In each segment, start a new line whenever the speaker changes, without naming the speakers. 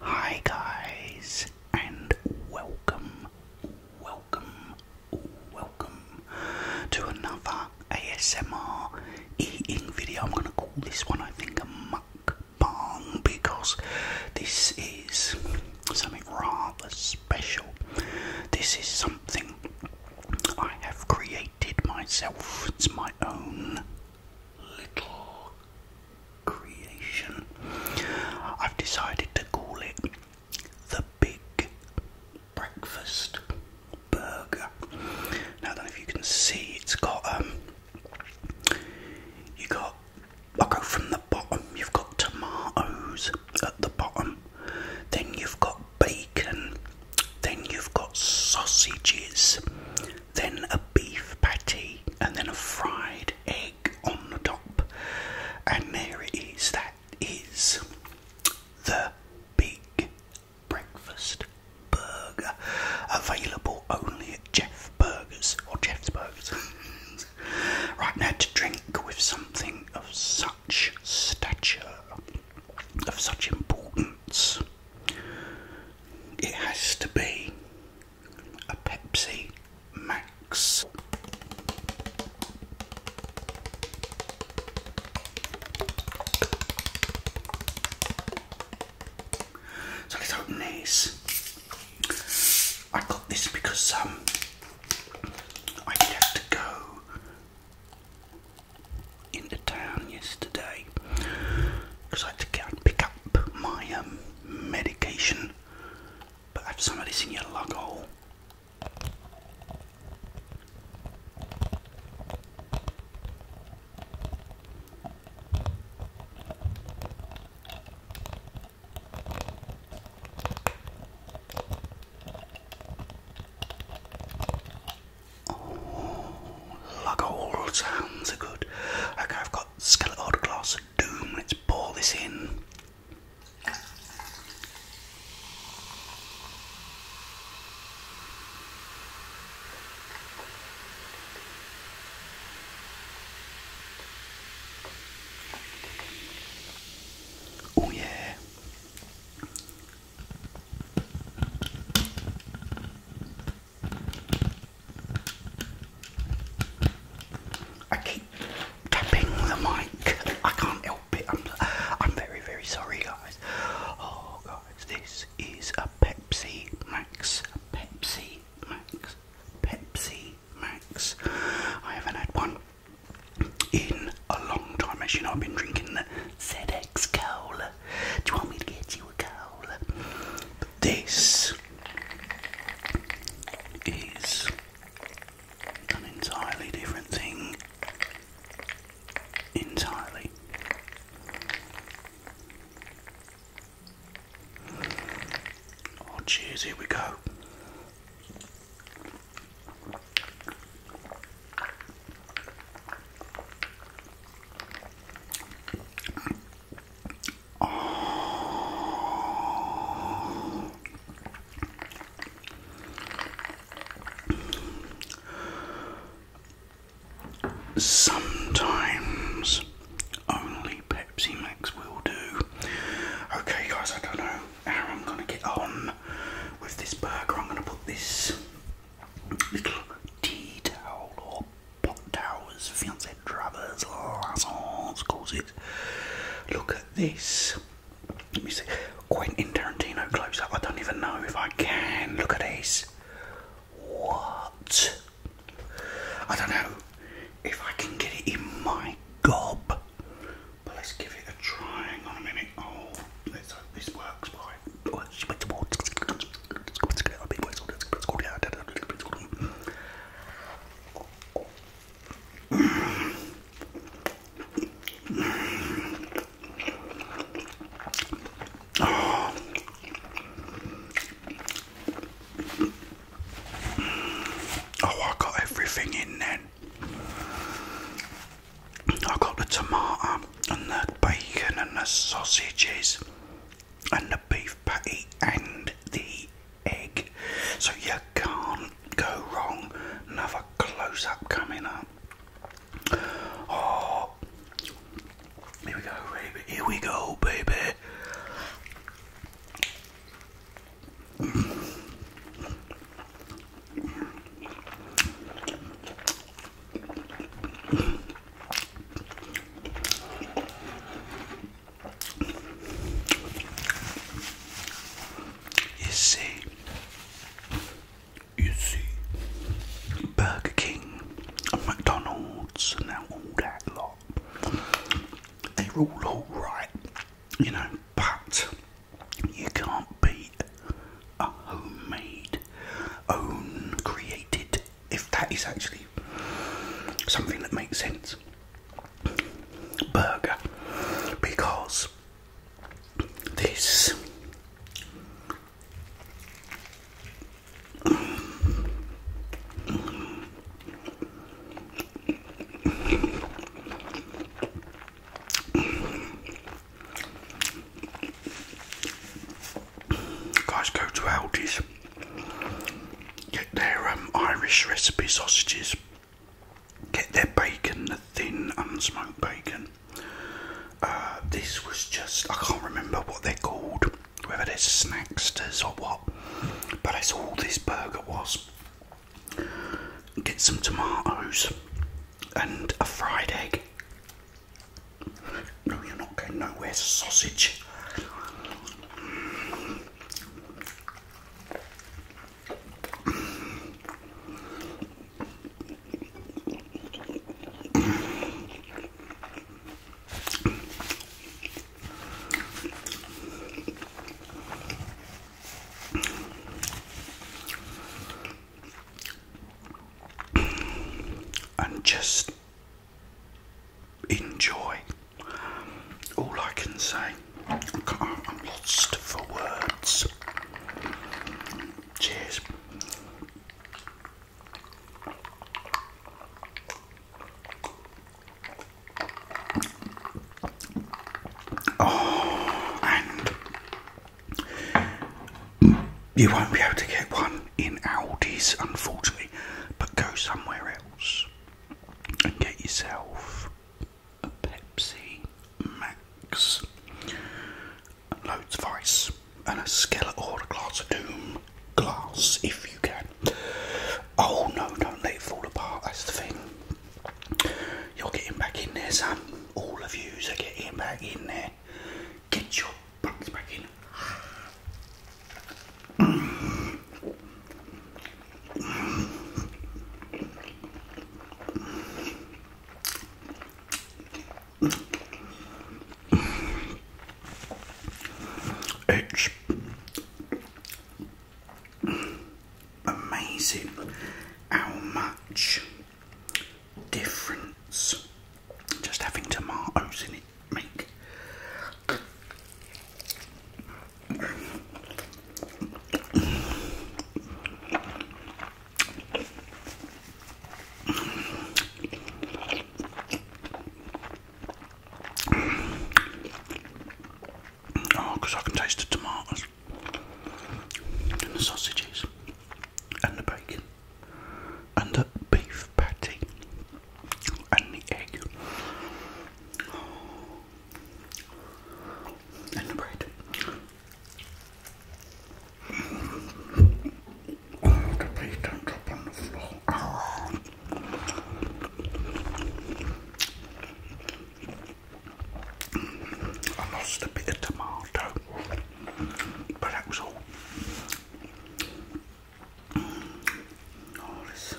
Hi guys and welcome, welcome, welcome to another ASMR eating video. I'm gonna call this one I think a mukbang because this is something rather special. This is something I have created myself. It's my own little creation. I've decided to call it the Big Breakfast Burger. Now, I if you can see, it's got um, you got. i go from the bottom. You've got tomatoes at the bottom. Then you've got bacon. Then you've got sausages then a beef patty, and then a fried egg on the top. And there it is. That is the big breakfast burger available only at Jeff Burgers or Jeff's Burgers. right now, to drink with something of such stature, of such importance. It has to be a Pepsi Max. So let's open these. I got this because um, I did to go into town yesterday because I had to go and pick up my um, medication, but have somebody's in your lug hole. Oh, lug hole sounds good. Okay, I've got got Skeletor Glass of Doom. Let's pour this in. Oh, yeah. I keep tapping the mic. I can't help it. I'm, I'm very, very sorry, guys. Oh, guys, this is a Pepsi Max. Pepsi Max. Pepsi Max. I haven't had one in a long time. As you know, I've been drinking the ZX Cola. Do you want me to get you this is an entirely different thing. Entirely. Oh, cheers, here we go. Oh. Sometimes only Pepsi Max will do. Okay, guys, I don't know how I'm gonna get on with this burger. I'm gonna put this little tea towel pot towers, fancy dravers, lassons, causes. Look at this. Let me see. Quentin Tarantino close up. I don't even know if I can. Look at this. What? I don't know if I can get it in my gob. But let's give it a try. Hang on a minute. Oh, let's hope this works. Right. Oh, I got everything in there. I got the tomato and the bacon and the sausages and the beef patty and the egg. So you can't go wrong. Another close up coming up. Oh, here we go, baby. Here we go, baby. You see, you see, Burger King McDonald's and all that lot, they're all alright, you know, but you can't beat a homemade, own created if that is actually something that makes sense. Burger, because this guys go to Aldi's Get their um, Irish recipe sausages. Get their bacon, the thin unsmoked bacon. Uh, this was just, I can't remember what they're called, whether it's are snacksters or what, but that's all this burger was. Get some tomatoes and a fried egg. No, you're not going nowhere, sausage. And just enjoy. All I can say, I'm lost for words. Cheers. Oh, and you won't be able to get one in Aldi's, unfortunately, but go somewhere else and get yourself a Pepsi Max, and loads of ice, and a skillet or a glass of doom glass if you can. Oh no, don't let it fall apart, that's the thing. You're getting back in there, Sam. All of yous are getting back in there. Get your bucks back in. H, amazing how much difference just having tomatoes in it make. Oh, I can taste the tomatoes and the sausages and the bacon and the beef patty and the egg and the bread. Oh, the plate don't on the floor. I lost a bit of tomato, but that was all. Oh, this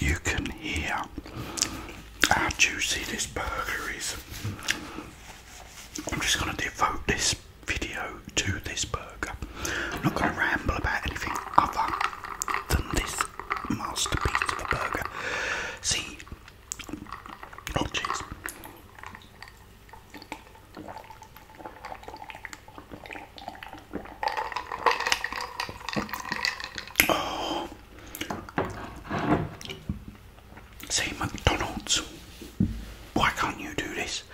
you can hear how juicy this burger is. I'm just going to devote this video to this burger. I'm not going to ramble about anything other than this masterpiece of a burger. See, oh jeez. Oh. See McDonald's. Why can't you do this?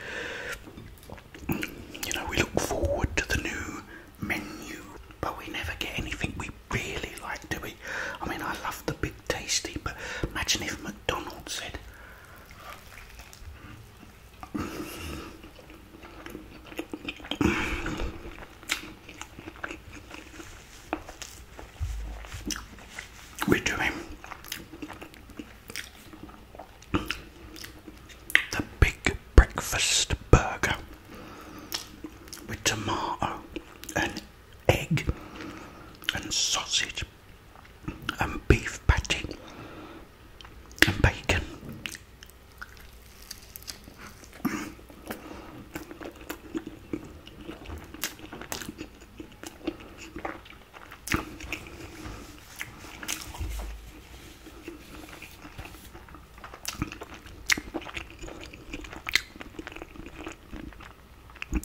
you know, we look forward to the new menu, but we never get anything we really like, do we? I mean, I love the big tasty, but imagine if McDonald's said, We're doing the big breakfast burger with tomato and egg and sausage and beef patty and bacon.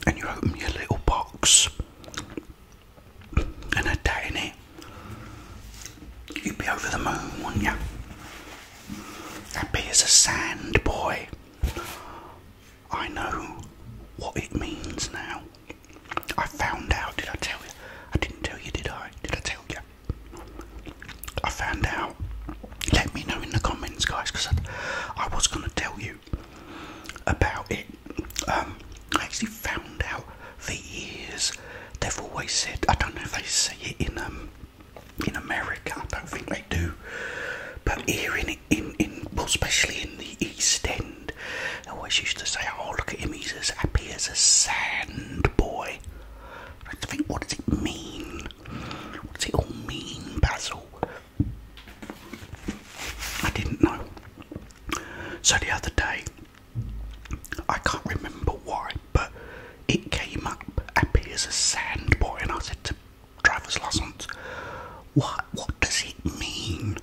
And you open your little box and a day you'd be over the moon, wouldn't you? Happy as a sand boy. I know what it means now. I found out, did I tell you? I didn't tell you, did I? Did I tell you? I found out. Let me know in the comments, guys, because I, was going to tell you about it. Um, I actually found out the years they've always said, I don't know if they say it in um, in America, I don't think they do, but here in, in, in especially in the East End. I always used to say, oh, look at him, he's as happy as a sand boy. I had to think, what does it mean? What does it all mean, Basil? I didn't know. So the other day, I can't remember why, but it came up happy as a sand boy, and I said to driver's license, what, what does it mean?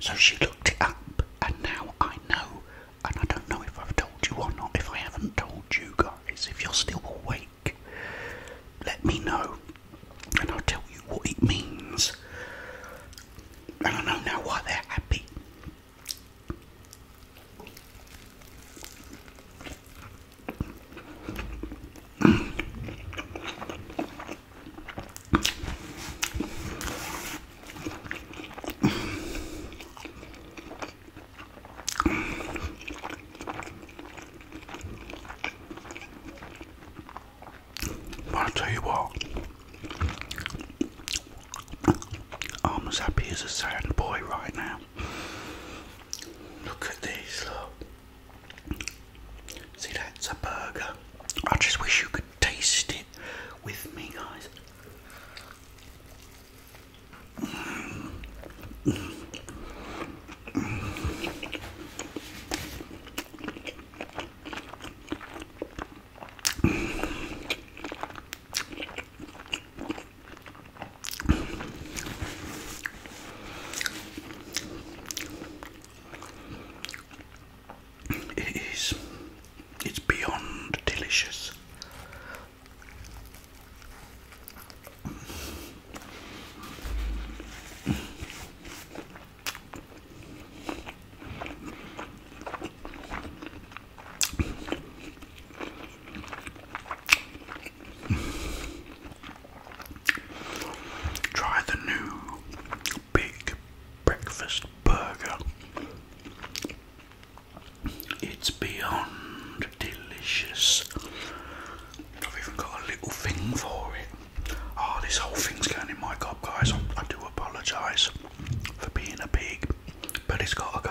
So she looked it up, and now I know. And I don't know if I've told you or not. If I haven't told you guys, if you're still awake, let me know, and I'll tell you what it means. And I know why they're happy i tell you what, I'm as happy as a sand boy right now. Look at these, look. See, that's a burger. I just wish you could taste it with me, guys. It is. It's beyond delicious. Try the new big breakfast burger. It's beyond delicious. I've even got a little thing for it. Oh, this whole thing's going in my gob, guys. I, I do apologise for being a pig, but it's got to go.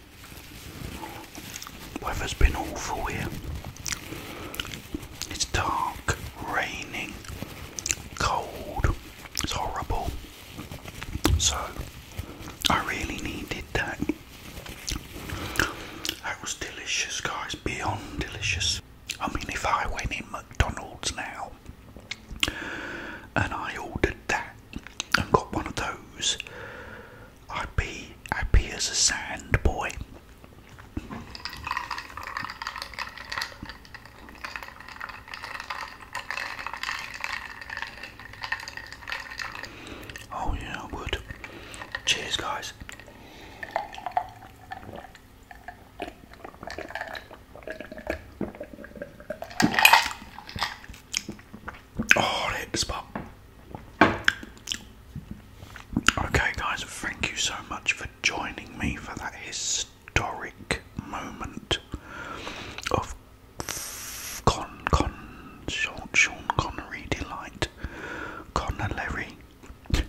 Weather's been awful here. It's dark, raining, cold, it's horrible. So, I really needed that. That was delicious, guys, beyond delicious. I mean, if I went in McDonald's now and I ordered that and got one of those, I'd be happy as a sand boy. Oh, yeah, I would. Cheers, guys. Oh, hit the spot. Okay, guys, thank you so much for joining me for that historic moment of Con Con Sean, Sean Connery delight, Connellery. Do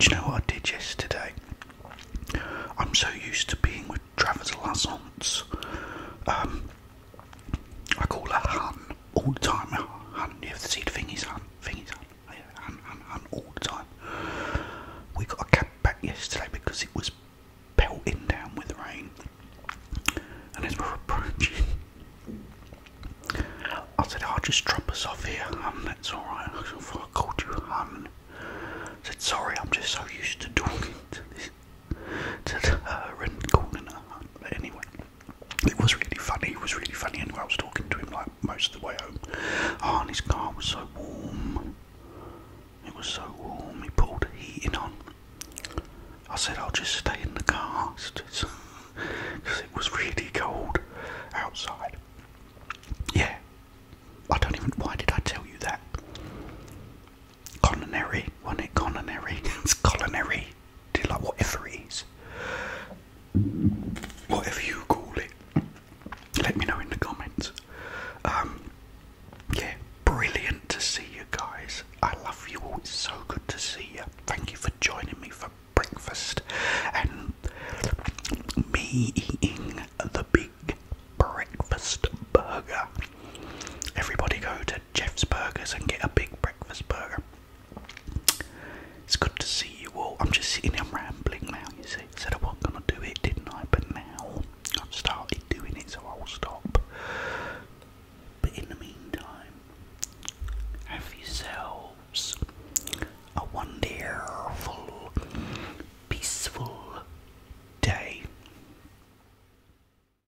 you know what I did yesterday? I'm so used to being with Travis Lassance. Um, I call her hun all the time. Hun, you have to see the thingies, hun, thingies, hun, hun, hun, hun, all the time. We got a cab back yesterday because it was pelting down with rain. And as we're approaching, I said, I'll oh, just drop us off here, hun, that's alright. I called you hun. I said, sorry, I'm just so used to talking to this to her and calling her anyway, it was really funny. It was really funny. Anyway, I was talking to him like most of the way home. and his car was so warm. It was so warm. He pulled the heating on. I said, I'll just stay in the car because it was really cold outside. Yeah, I don't even. Why did I tell you that? culinary, wasn't it? Culinary. it's culinary. Do like whatever it is. Whatever you call it. Let me know in the comments. Um yeah, brilliant to see you guys. I love you all. It's so good to see you. Thank you for joining me for breakfast and me eating the big breakfast burger. Everybody go to Jeff's Burgers and get a big breakfast burger. It's good to see you all. I'm just sitting here rambling now, you see. said I wasn't going to do it, didn't I? But now I've started doing it, so I'll stop. But in the meantime, have yourselves a wonderful, peaceful day.